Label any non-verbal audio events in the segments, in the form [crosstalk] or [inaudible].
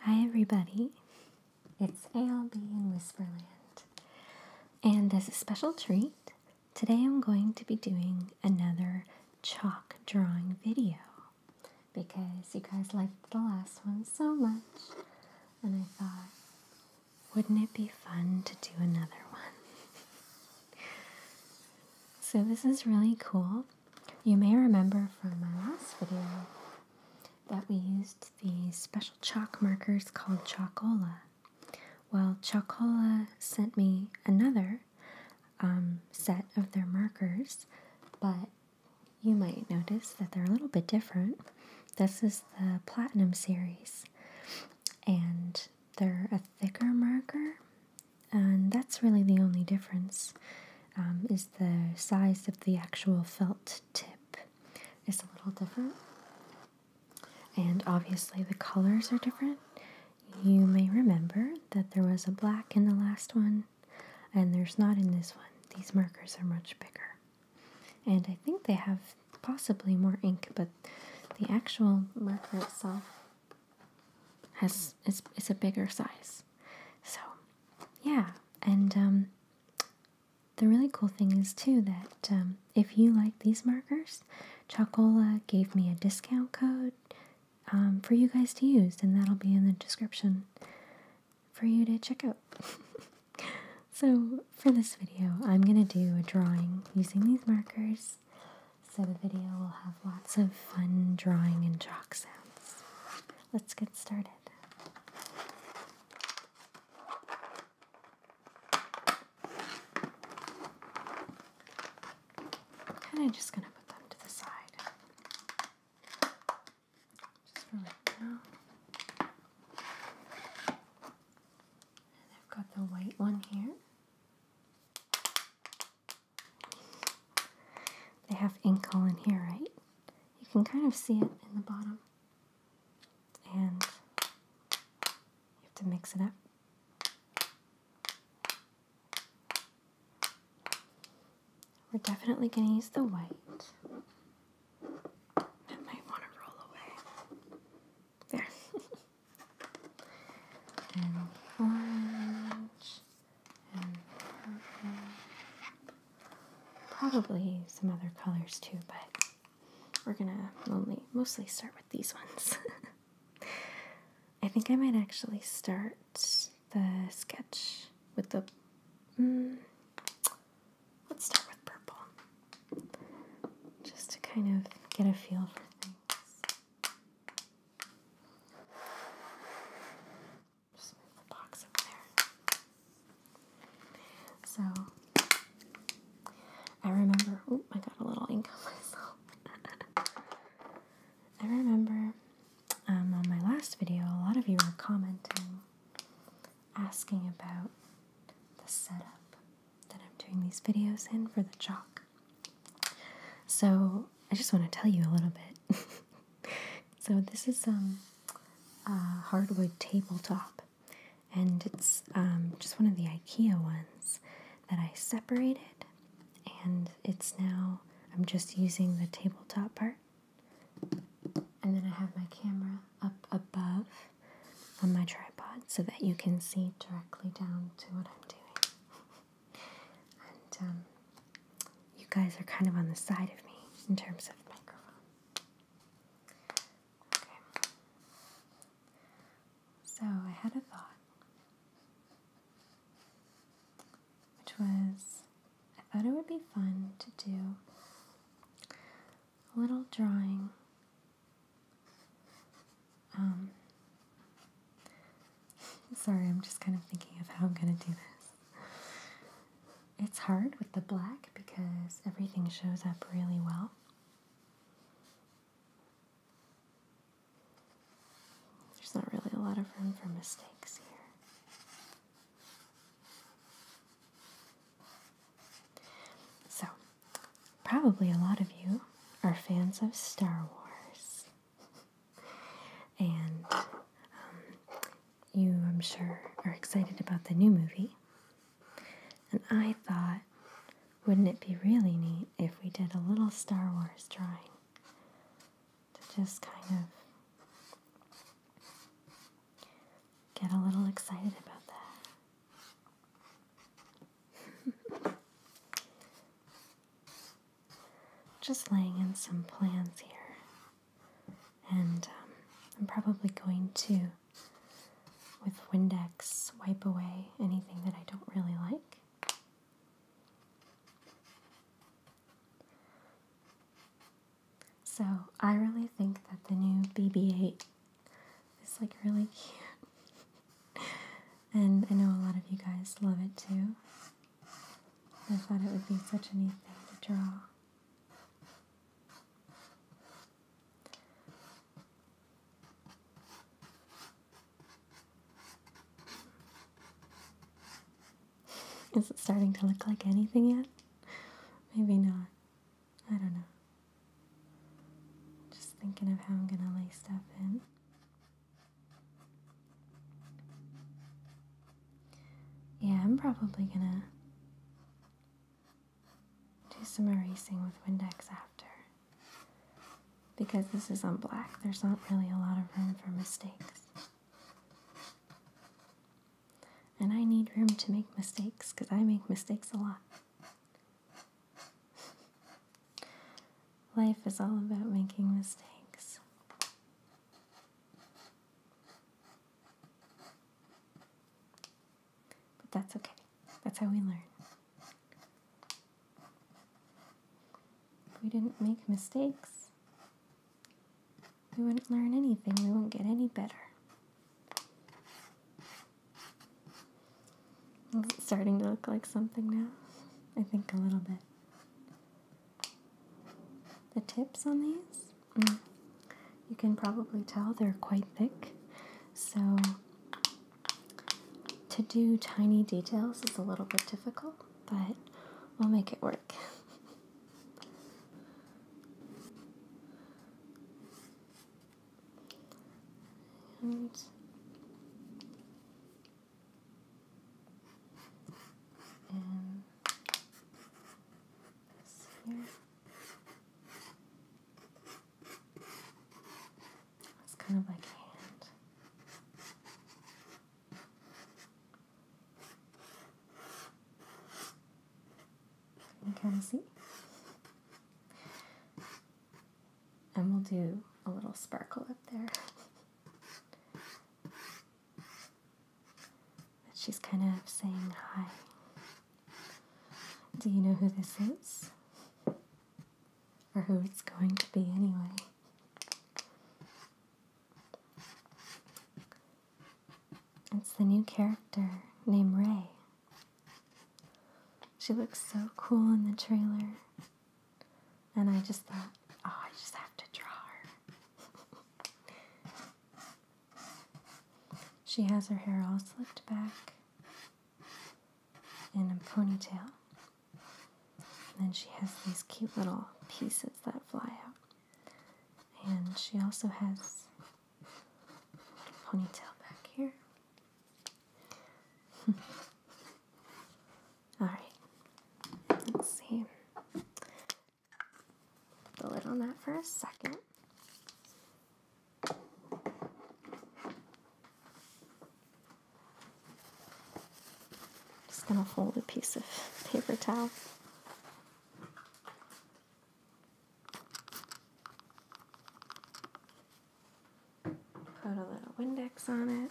Hi, everybody. It's ALB in Whisperland. And as a special treat, today I'm going to be doing another chalk drawing video because you guys liked the last one so much. And I thought, wouldn't it be fun to do another one? [laughs] so, this is really cool. You may remember from my last video that we used the special chalk markers called Chalkola. Well, Chalkola sent me another um, set of their markers, but you might notice that they're a little bit different. This is the Platinum series, and they're a thicker marker, and that's really the only difference. Um, is the size of the actual felt tip is a little different. And obviously the colors are different. You may remember that there was a black in the last one and there's not in this one. These markers are much bigger. And I think they have possibly more ink, but the actual marker itself has is, is a bigger size. So, yeah. And um, the really cool thing is too that um, if you like these markers, Chocola gave me a discount code um, for you guys to use, and that'll be in the description for you to check out. [laughs] so for this video, I'm gonna do a drawing using these markers. So the video will have lots of fun drawing and chalk sounds. Let's get started excited. Kind just gonna put them to the side. Just for right now. And I've got the white one here. They have ink all in here, right? you can kind of see it in the bottom. And you have to mix it up. We're definitely going to use the white. That might want to roll away. There. [laughs] and orange and purple probably some other colors too, but we're gonna only mostly start with these ones. [laughs] I think I might actually start the sketch with the. Mm, let's start with purple, just to kind of get a feel for things. Just the box up there. So, I remember. Oh, I got a little ink on [laughs] myself. I remember um, on my last video, a lot of you were commenting, asking about the setup that I'm doing these videos in for the chalk. So, I just want to tell you a little bit [laughs] so this is um, a hardwood tabletop, and it's um, just one of the IKEA ones that I separated, and it's now I'm just using the tabletop part, and then I have my camera up above on my tripod so that you can see directly down to what I'm doing. [laughs] and um, you guys are kind of on the side of me in terms of microphone. Okay. So I had a thought, which was I thought it would be fun to do a little drawing um [laughs] sorry i'm just kind of thinking of how i'm going to do this it's hard with the black because everything shows up really well. There's not really a lot of room for mistakes here. So, probably a lot of you are fans of Star Wars. [laughs] and um, you, I'm sure, are excited about the new movie. And I thought, wouldn't it be really neat if we did a little Star Wars drawing to just kind of get a little excited about that? [laughs] just laying in some plans here. And um, I'm probably going to, with Windex, wipe away anything that I don't really like. So I really think that the new BB-8 is like really [laughs] cute. and I know a lot of you guys love it too. I thought it would be such a neat thing to draw. Is it starting to look like anything yet? Maybe not. I don't know. Just thinking of how I'm gonna lay stuff in. Yeah, I'm probably gonna do some erasing with Windex after. Because this is on black, there's not really a lot of room for mistakes. And I need room to make mistakes because I make mistakes a lot. Life is all about making mistakes. But that's okay. That's how we learn. If we didn't make mistakes, we wouldn't learn anything. We wouldn't get any better. It's starting to look like something now. I think a little bit. The tips on these Mm. You can probably tell they're quite thick, so to do tiny details is a little bit difficult, but we'll make it work. and [laughs] and this here. It's kind of like hand. You kind see? And we'll do a little sparkle up there. But she's kind of saying hi. Do you know who this is? Or who it's going to be anyway? It's the new character named Ray. She looks so cool in the trailer. And I just thought, oh, I just have to draw her. [laughs] She has her hair all slicked back in a ponytail. And then she has these cute little pieces that fly out. And she also has ponytail back here. [laughs] Alright, let's see. Put the lid on that for a second. Just gonna fold a piece of paper towel. Put a little Windex on it.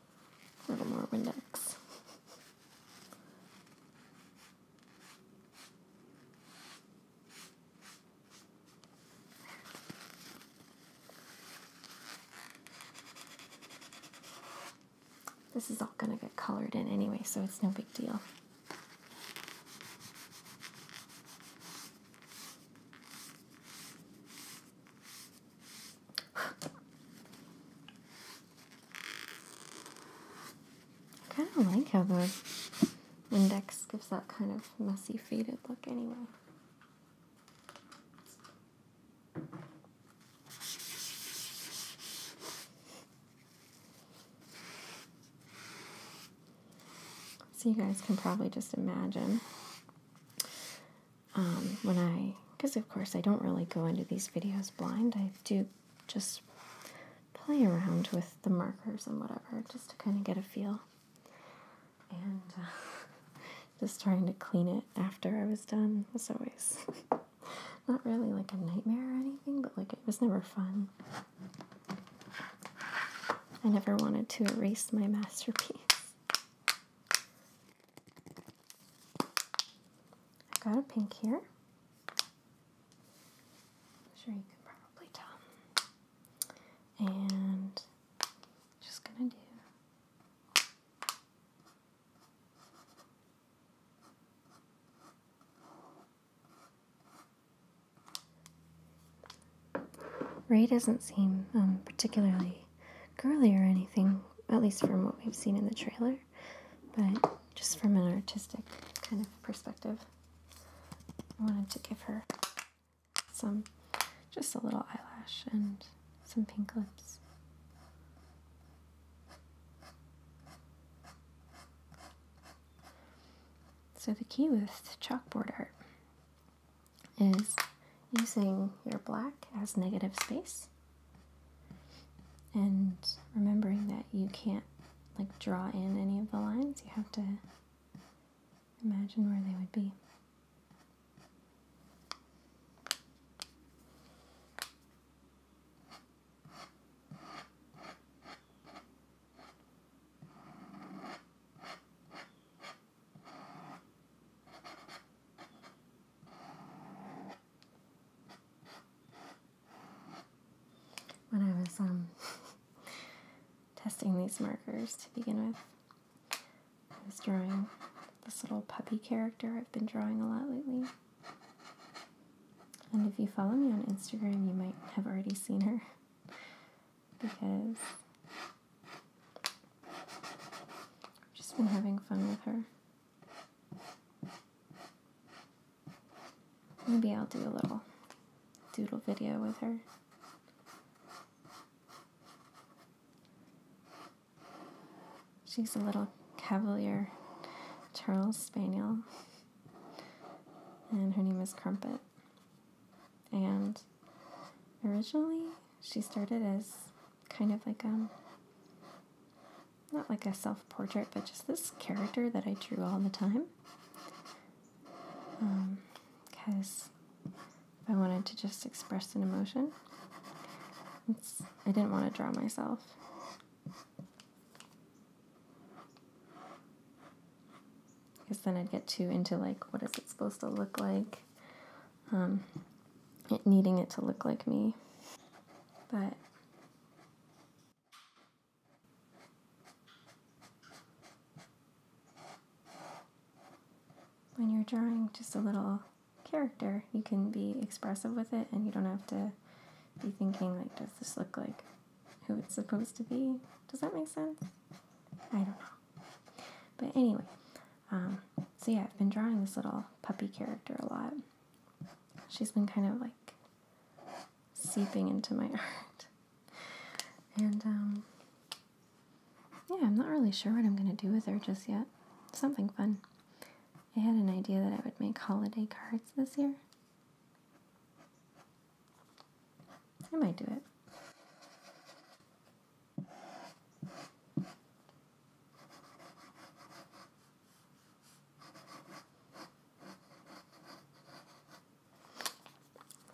A little more index. This is all going to get colored in anyway, so it's no big deal. I kind of like how the index gives that kind of messy faded look anyway. So you guys can probably just imagine um, when I because of course I don't really go into these videos blind. I do just play around with the markers and whatever just to kind of get a feel. And uh, [laughs] just trying to clean it after I was done was always [laughs] not really like a nightmare or anything, but like it was never fun. I never wanted to erase my masterpiece. I have got a pink here. sure you can probably tell. And just gonna do Ray doesn't seem um, particularly girly or anything, at least from what we've seen in the trailer, but just from an artistic kind of perspective. I wanted to give her some, just a little eyelash and some pink lips. So the key with chalkboard art is using your black as negative space and remembering that you can't like draw in any of the lines, you have to imagine where they would be when I was um, [laughs] testing these markers to begin with. I was drawing this little puppy character I've been drawing a lot lately. And if you follow me on Instagram, you might have already seen her [laughs] because I've just been having fun with her. Maybe I'll do a little doodle video with her. She's a little cavalier Terrier Spaniel, and her name is Crumpet. And originally, she started as kind of like a. Um, not like a self portrait, but just this character that I drew all the time. Because um, I wanted to just express an emotion, I didn't want to draw myself. Because then I'd get too into like, what is it supposed to look like? Um, needing it to look like me. But when you're drawing just a little character, you can be expressive with it and you don't have to be thinking, like, does this look like who it's supposed to be? Does that make sense? I don't know. But anyway, um, so yeah, I've been drawing this little puppy character a lot she's been kind of like seeping into my [laughs] art. And um, yeah, I'm not really sure what I'm going to do with her just yet. Something fun. I had an idea that I would make holiday cards this year. I might do it.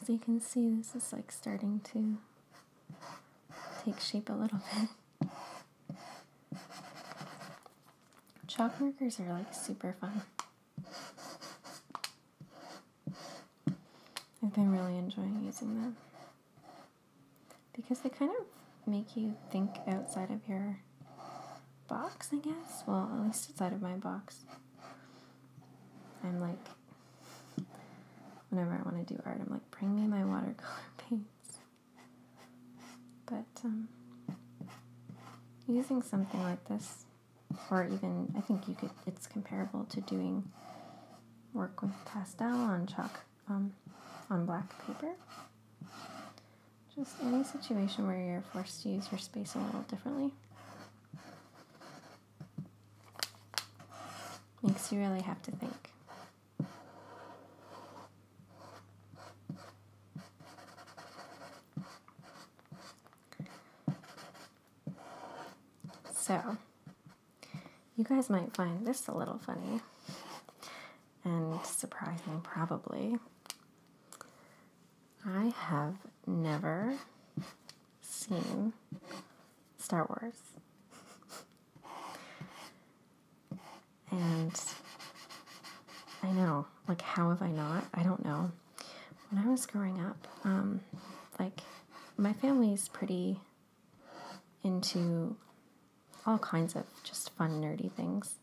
So you can see this is like starting to take shape a little bit. Chalk markers are like super fun. I've been really enjoying using them because they kind of make you think outside of your box, I guess. Well, at least it's out of my box. I'm like, whenever I want to do art, I'm like, bring me my watercolor [laughs] paints. But um, using something like this, or even, I think you could, it's comparable to doing work with pastel on chalk, um, on black paper just any situation where you're forced to use your space a little differently makes you really have to think. So, you guys might find this a little funny and surprising, probably. I have never seen Star Wars. and I know, like, how have I not? I don't know. When I was growing up, um, like, my family's pretty into all kinds of just fun, nerdy things.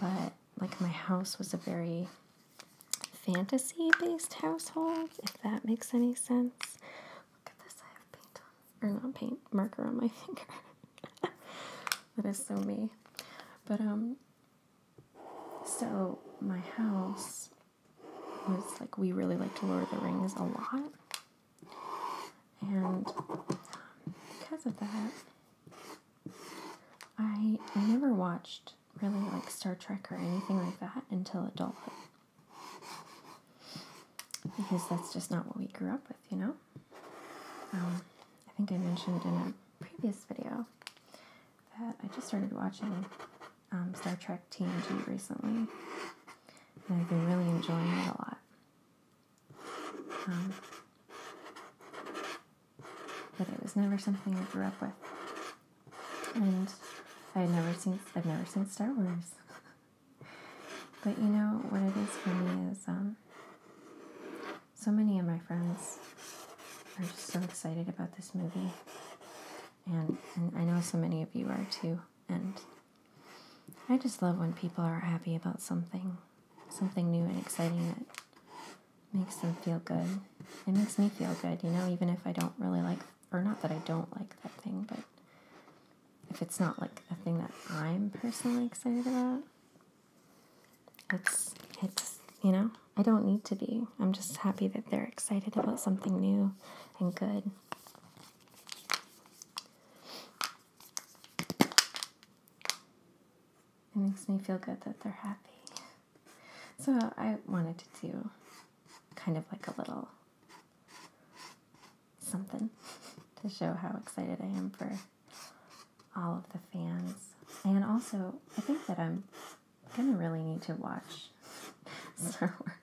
But like my house was a very fantasy based household, if that makes any sense. Look at this, I have paint or not paint, marker on my [laughs] finger. that is so me. But, um, so my house was like, we really liked Lord of the Rings a lot. And um, because of that, I I never watched really like Star Trek or anything like that until adult, Because that's just not what we grew up with, you know? Um, I think I mentioned in a previous video that I just started watching um, Star Trek TNG recently, and I've been really enjoying it a lot but it was never something I grew up with. And I've never seen I've never seen Star Wars. but you know what it is for me is um, so many of my friends are just so excited about this movie. And, and I know so many of you are too. And I just love when people are happy about something something new and exciting that makes them feel good. It makes me feel good, you know, even if I don't really like, or not that I don't like that thing, but if it's not like a thing that I'm personally excited about, it's, it's, you know, I don't need to be. I'm just happy that they're excited about something new and good it makes me feel good that they're happy. So I wanted to do kind of like a little something [laughs] to show how excited I am for all of the fans. And also, I think that I'm gonna really need to watch [laughs] Star Wars.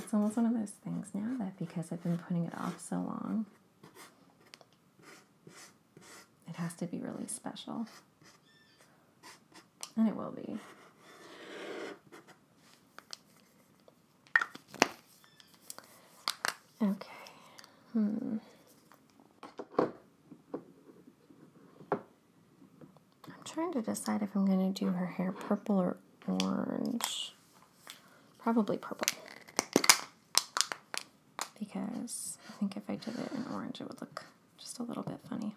It's almost one of those things now that because I've been putting it off so long, it has to be really special. And it will be. Okay. Hmm. I'm trying to decide if I'm going to do her hair purple or orange. Probably purple because I think if I did it in orange, it would look just a little bit funny.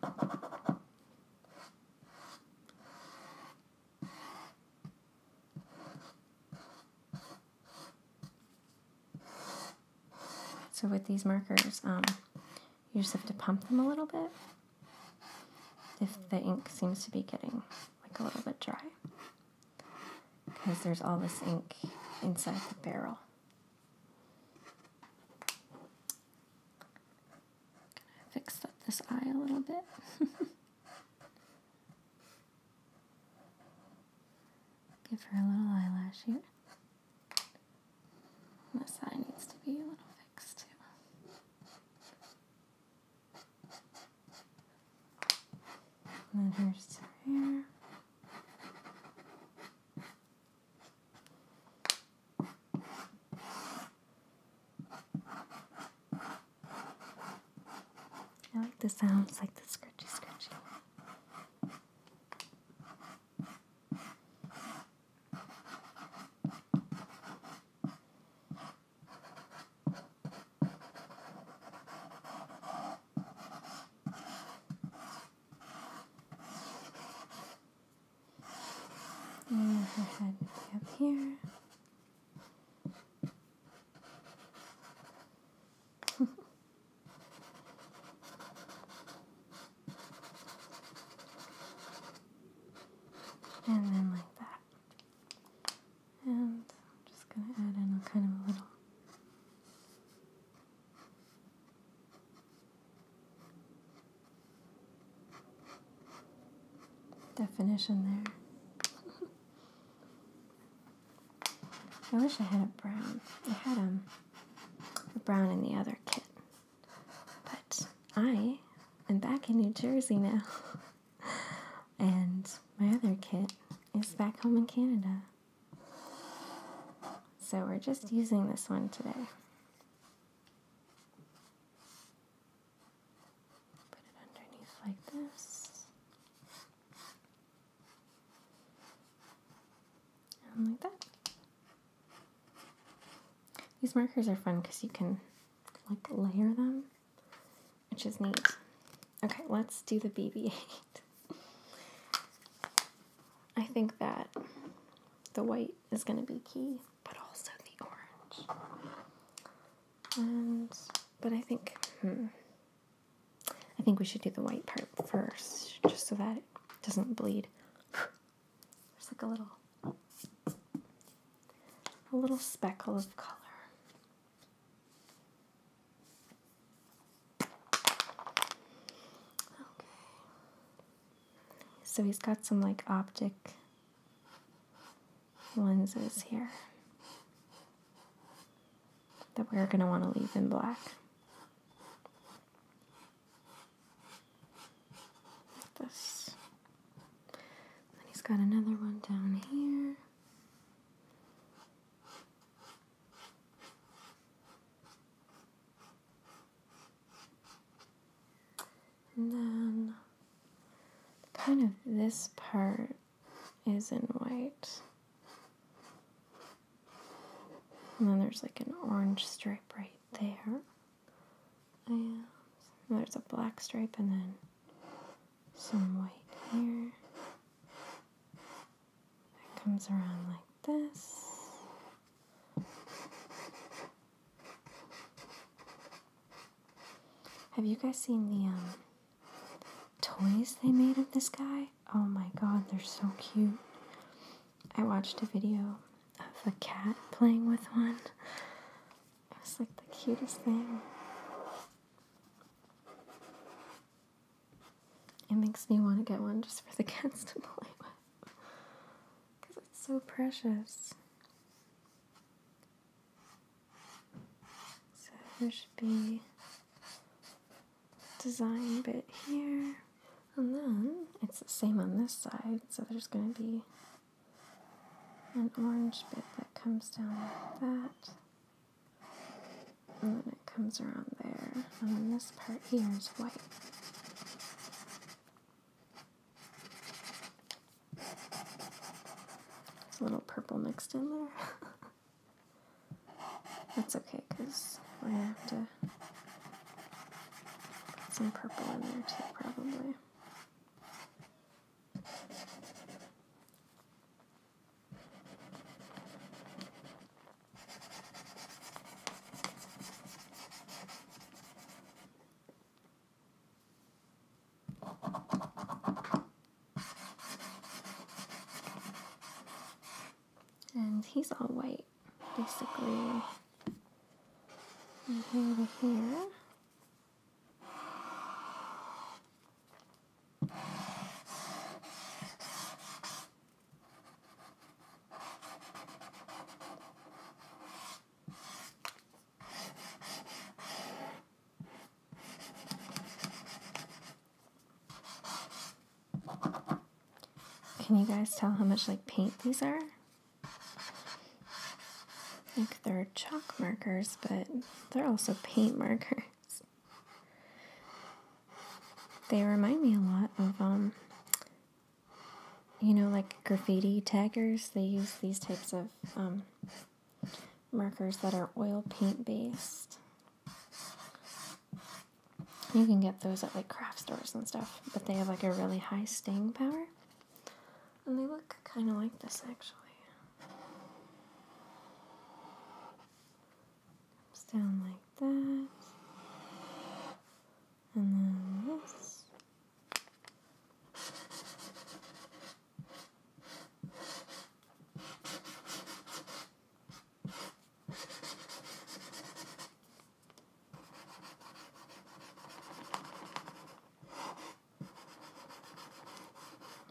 So with these markers, um, you just have to pump them a little bit if the ink seems to be getting like a little bit dry because there's all this ink inside the barrel. Gonna fix up this eye a little bit. [laughs] Give her a little eyelash here. this eye needs to be a little fixed too. And then here's some hair. I like the sounds like the scratchy scratchy. And her head up here. and then like that. And I'm just going to add in a kind of a little definition there. I wish I had a brown. I had um, a brown in the other kit. But I am back in New Jersey now. [laughs] and my other kit is back home in Canada. So we're just using this one today. Put it underneath like this. And like that. These markers are fun because you can like layer them which is neat. Okay, let's do the BB 8. I think that the white is going to be key, but also the orange. And, but I think, hmm, I think we should do the white part first, just so that it doesn't bleed. There's like a little, a little speckle of color. So he's got some like optic lenses here that we're going to want to leave in black. Like this. Then he's got another one down here. And then kind of this part is in white. And then there's like an orange stripe right there. And there's a black stripe and then some white here. It comes around like this. Have you guys seen the um, toys they made of this guy? Oh my god, they're so cute. I watched a video of a cat playing with one. It was like the cutest thing. It makes me want to get one just for the [laughs] kids to play with. Because it's so precious. So there should be design bit here. And then it's the same on this side, so there's going to be an orange bit that comes down like that. And then it comes around there. And then this part here is white. There's a little purple mixed in there. [laughs] That's okay, because we're going to have to get some purple in there too, probably. And he's all white, basically. Right here. Can you guys tell how much like paint these are? Like they're chalk markers, but they're also paint markers. They remind me a lot of, um, you know, like graffiti taggers. They use these types of um, markers that are oil paint based. You can get those at like craft stores and stuff, but they have like a really high staying power. And they look kind of like this actually comes down like that, and then this.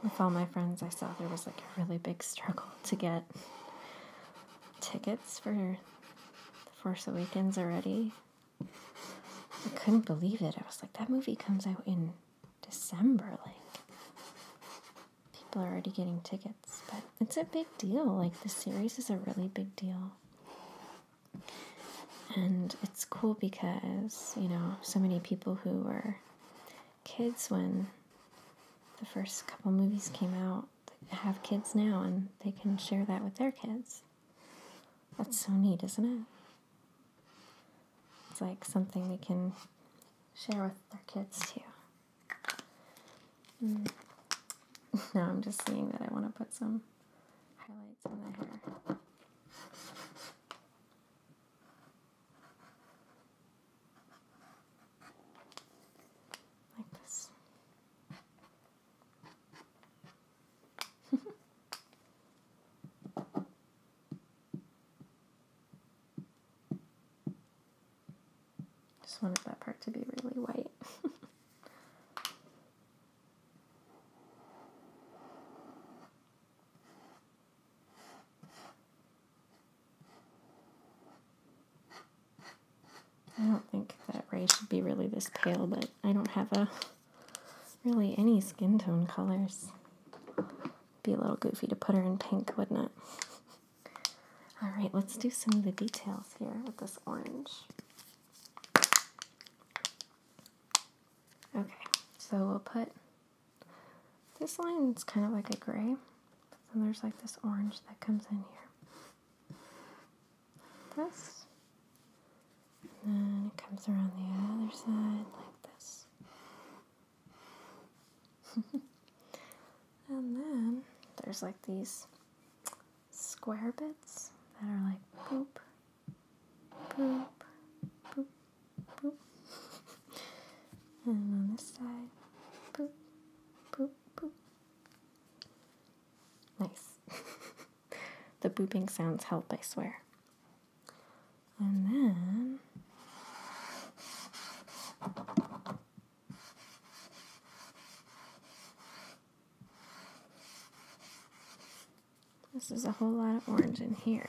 With all my friends, I saw there was like a really big struggle to get tickets for The Force Awakens already. I couldn't believe it. I was like, that movie comes out in December. Like, people are already getting tickets. But it's a big deal. Like, the series is a really big deal. And it's cool because, you know, so many people who were kids when the first couple movies came out have kids now and they can share that with their kids. That's so neat, isn't it? It's like something we can share with their kids too. Mm. [laughs] now I'm just seeing that I want to put some highlights on the hair. Like this. [laughs] Just wanted that part to be really white. [laughs] I don't think that Ray should be really this pale, but I don't have a really any skin tone colors. Be a little goofy to put her in pink, wouldn't it? [laughs] Alright, let's do some of the details here with this orange. Okay, so we'll put this line. line's kind of like a gray. So there's like this orange that comes in here. Like this. And then it comes around the other side like this. [laughs] and then there's like these square bits that are like boop, boop, boop, boop. [laughs] and on this side, boop, boop, Nice. [laughs] the booping sounds help, I swear. And then. This is a whole lot of orange in here.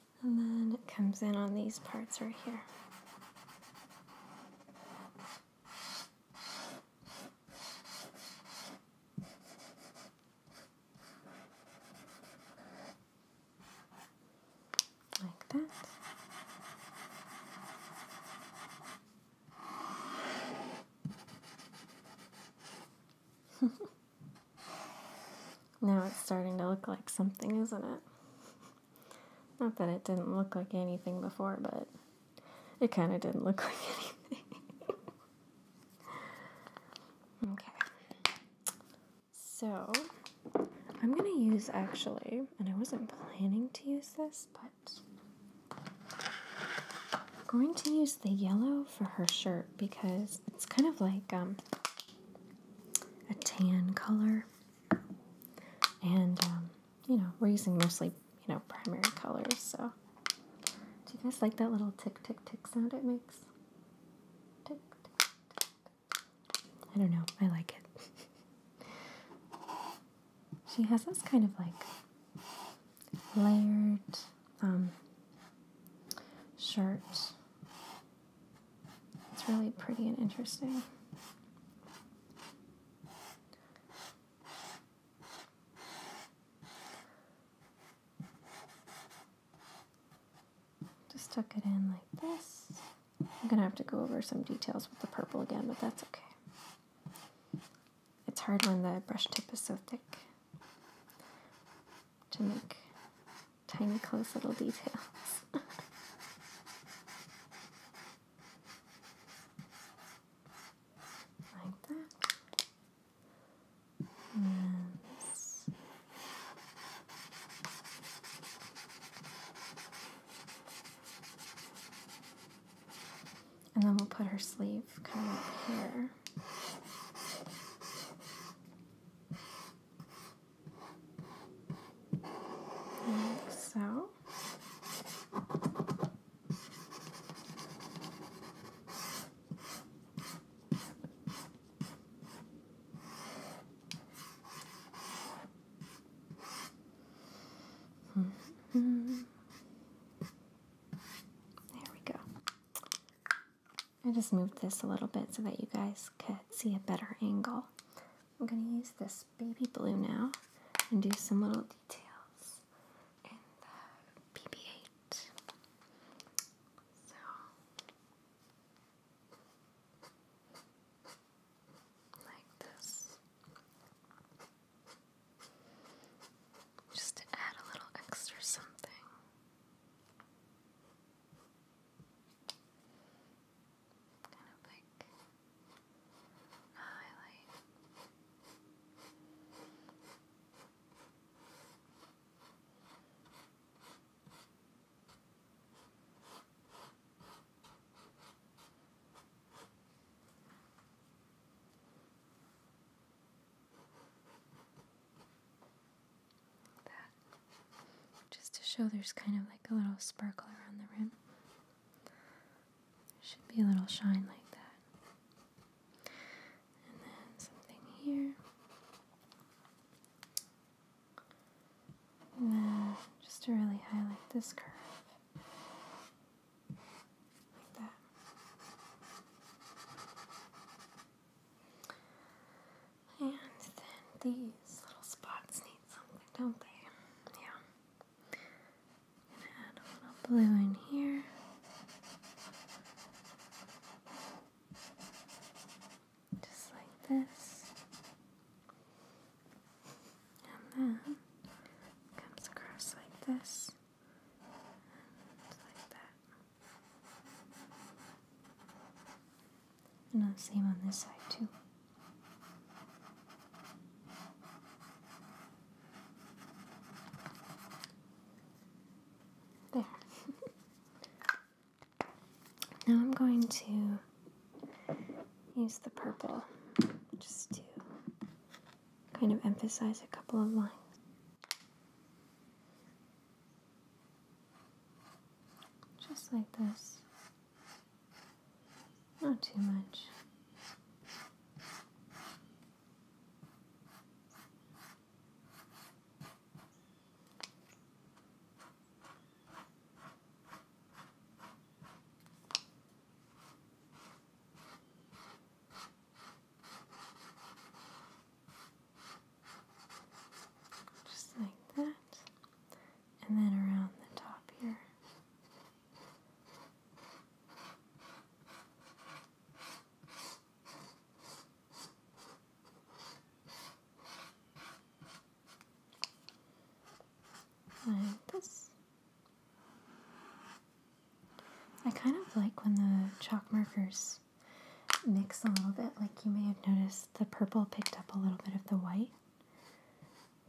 And then it comes in on these parts right here. Like that. [laughs] now it's starting to look like something, isn't it? Not that it didn't look like anything before, but it kind of didn't look [laughs] like anything. okay. So, I'm going to use actually, and I wasn't planning to use this, but I'm going to use the yellow for her shirt because it's kind of like um, a tan color and um, you know we're using mostly you know primary colors. So, do you guys like that little tick tick tick sound it makes? I don't know. I like it. [laughs] she has this kind of like layered um, shirt it's really pretty and interesting. Just tuck it in like this. I'm going to have to go over some details with the purple again, but that's okay. It's hard when the brush tip is so thick to make tiny close little details. [laughs] like that. And then we'll put her sleeve kind of up here so. -hmm. There we go. I just moved this a little bit so that you guys could see a better angle. I'm going to use this baby blue now and do some little details in the BB-8. So, like this. Just to add a little extra something kind of like highlight. That just to show there's kind of like a little sparkle around the rim. should be a little shine like that. And then something here. And then just to really highlight this curve. Like that. And then these little spots need something, don't they? Yeah. add a little blue in here. Just like this. And then comes across like this. And like that. And the same on this side too. There. [laughs] now I'm going to use the purple just to kind of emphasize a couple of lines. Just like this. Not too much. Just like that and then around the top here. Like this. I kind of like when the chalk markers mix a little bit, like you may have noticed the purple picked up a little bit of the white.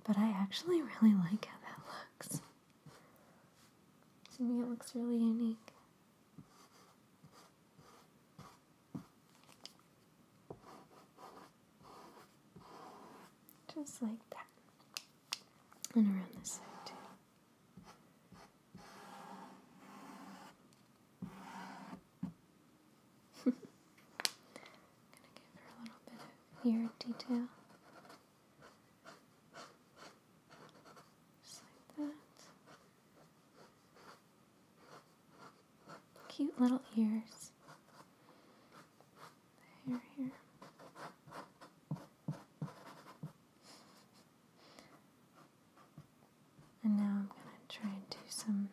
But I actually really like how that looks. To me, it looks really unique. Just like that. And around this side, too gonna give her a little bit of ear detail. Just like that. Cute little ears. hair here. And now I'm going to try and do some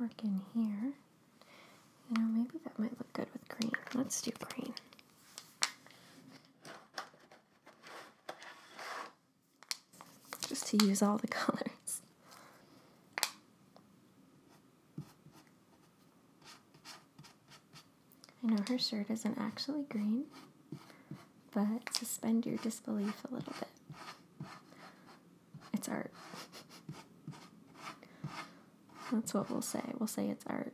work in here. You know, maybe that might look good with green. Let's do green. Just to use all the [laughs] colors. I know her shirt isn't actually green, but suspend your disbelief a little bit. It's art. That's what we'll say. We'll say it's art.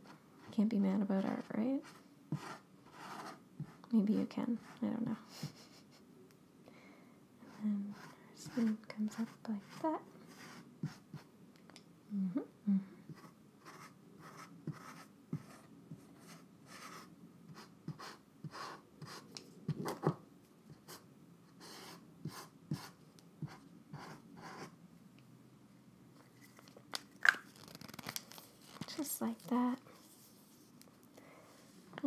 Can't be mad about art, right? Maybe you can. I don't know. then our sleeve comes up like that. Mm-hmm, mm-hmm. Just like that.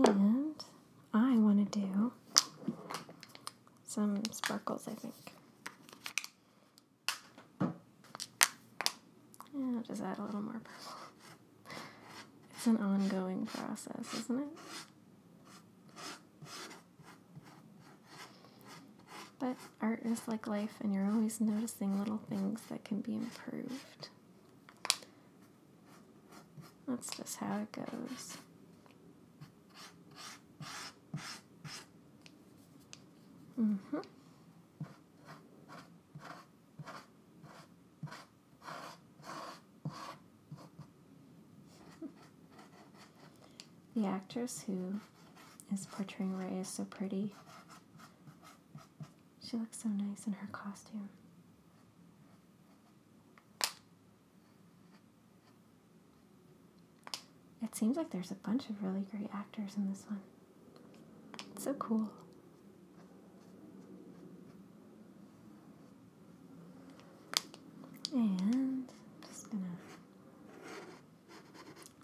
And I want to do some sparkles, I think. Yeah, just add a little more purple. It's an ongoing process, isn't it? But art is like life, and you're always noticing little things that can be improved. That's just how it goes. Mm hmm the actress who is portraying Ray is so pretty. She looks so nice in her costume. It seems like there's a bunch of really great actors in this one. It's so cool. And I'm just gonna.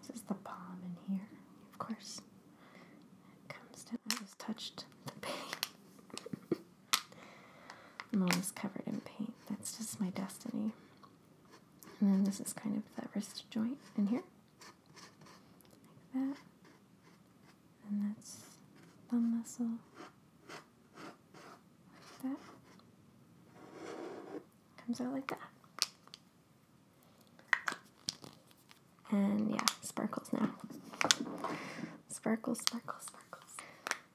This is the palm in here, of course. comes down. I just touched the paint. [laughs] I'm always covered in paint. That's just my destiny. And then this is kind of the wrist joint in here. Like that and that's thumb muscle that. Comes out like that. And yeah, sparkles now. Sparkles, sparkles, sparkles.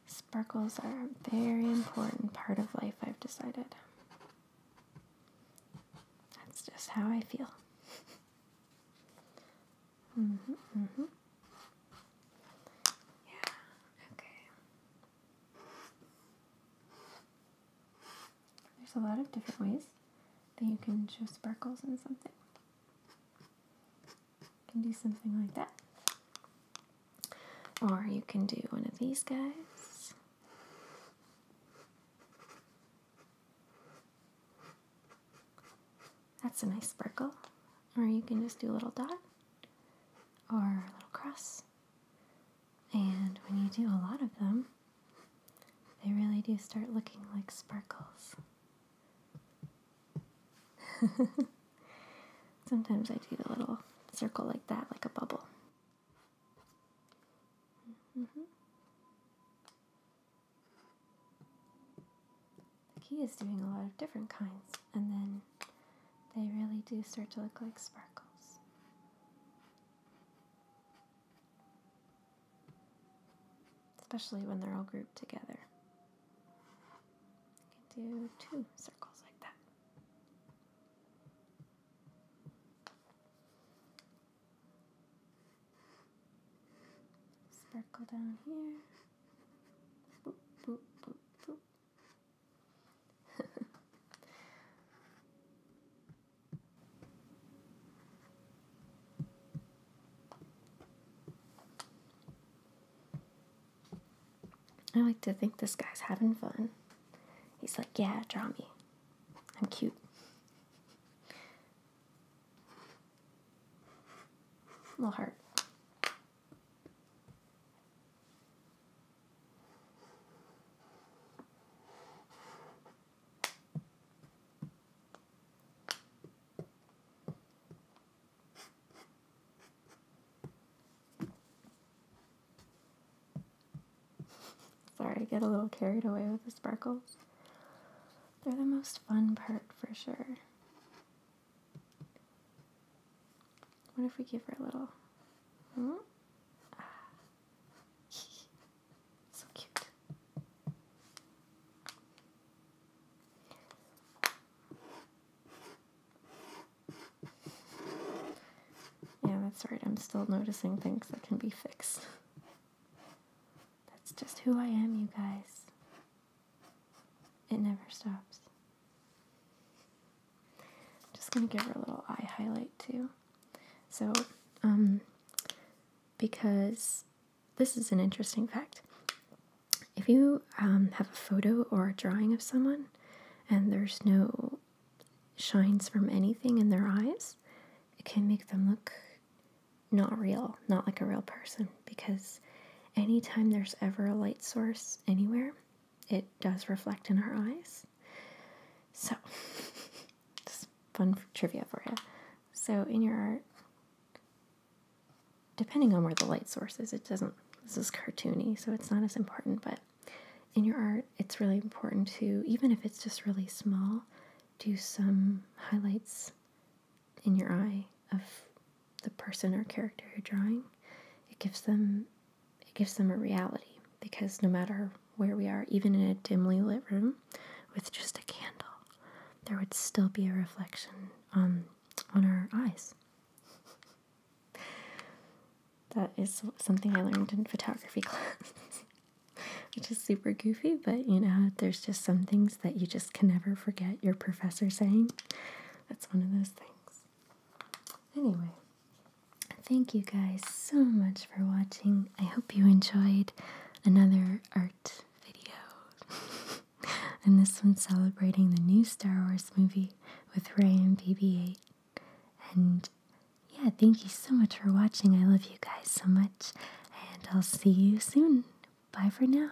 Sparkles are a very important part of life, I've decided. That's just how I feel. Mhm. Mm mhm. Mm yeah. Okay. There's a lot of different ways that you can show sparkles in something. You can do something like that. Or you can do one of these guys. That's a nice sparkle. Or you can just do a little dot or a little cross. And when you do a lot of them, they really do start looking like sparkles. [laughs] Sometimes I do a little circle like that, like a bubble. Mm-hmm the key is doing a lot of different kinds, and then they really do start to look like sparkles. Especially when they're all grouped together. You can do two circles like that. Sparkle down here. I like to think this guy's having fun. He's like, yeah, draw me. I'm cute. Little heart. Sorry, I get a little carried away with the sparkles. They're the most fun part for sure. What if we give her a little? Hmm? Ah. [laughs] so cute. Yeah, that's right. I'm still noticing things that can be fixed. That's just who I am, you guys. It never stops. just gonna give her a little eye highlight too. So, um, because this is an interesting fact. If you um, have a photo or a drawing of someone and there's no shines from anything in their eyes, it can make them look not real, not like a real person because anytime there's ever a light source anywhere, it does reflect in our eyes. So, [laughs] just fun trivia for you. So, in your art, depending on where the light source is, it doesn't, this is cartoony, so it's not as important, but in your art, it's really important to, even if it's just really small, do some highlights in your eye of the person or character you're drawing, it gives them it gives them a reality because no matter where we are, even in a dimly lit room with just a candle, there would still be a reflection on on our eyes. [laughs] that is something I learned in photography [laughs] class. Which is super goofy, but you know, there's just some things that you just can never forget your professor saying. That's one of those things. Anyway, thank you guys so much for watching. I hope you enjoyed another art video. [laughs] and this one celebrating the new Star Wars movie with Ray and BB 8. And yeah, thank you so much for watching. I love you guys so much. And I'll see you soon. Bye for now.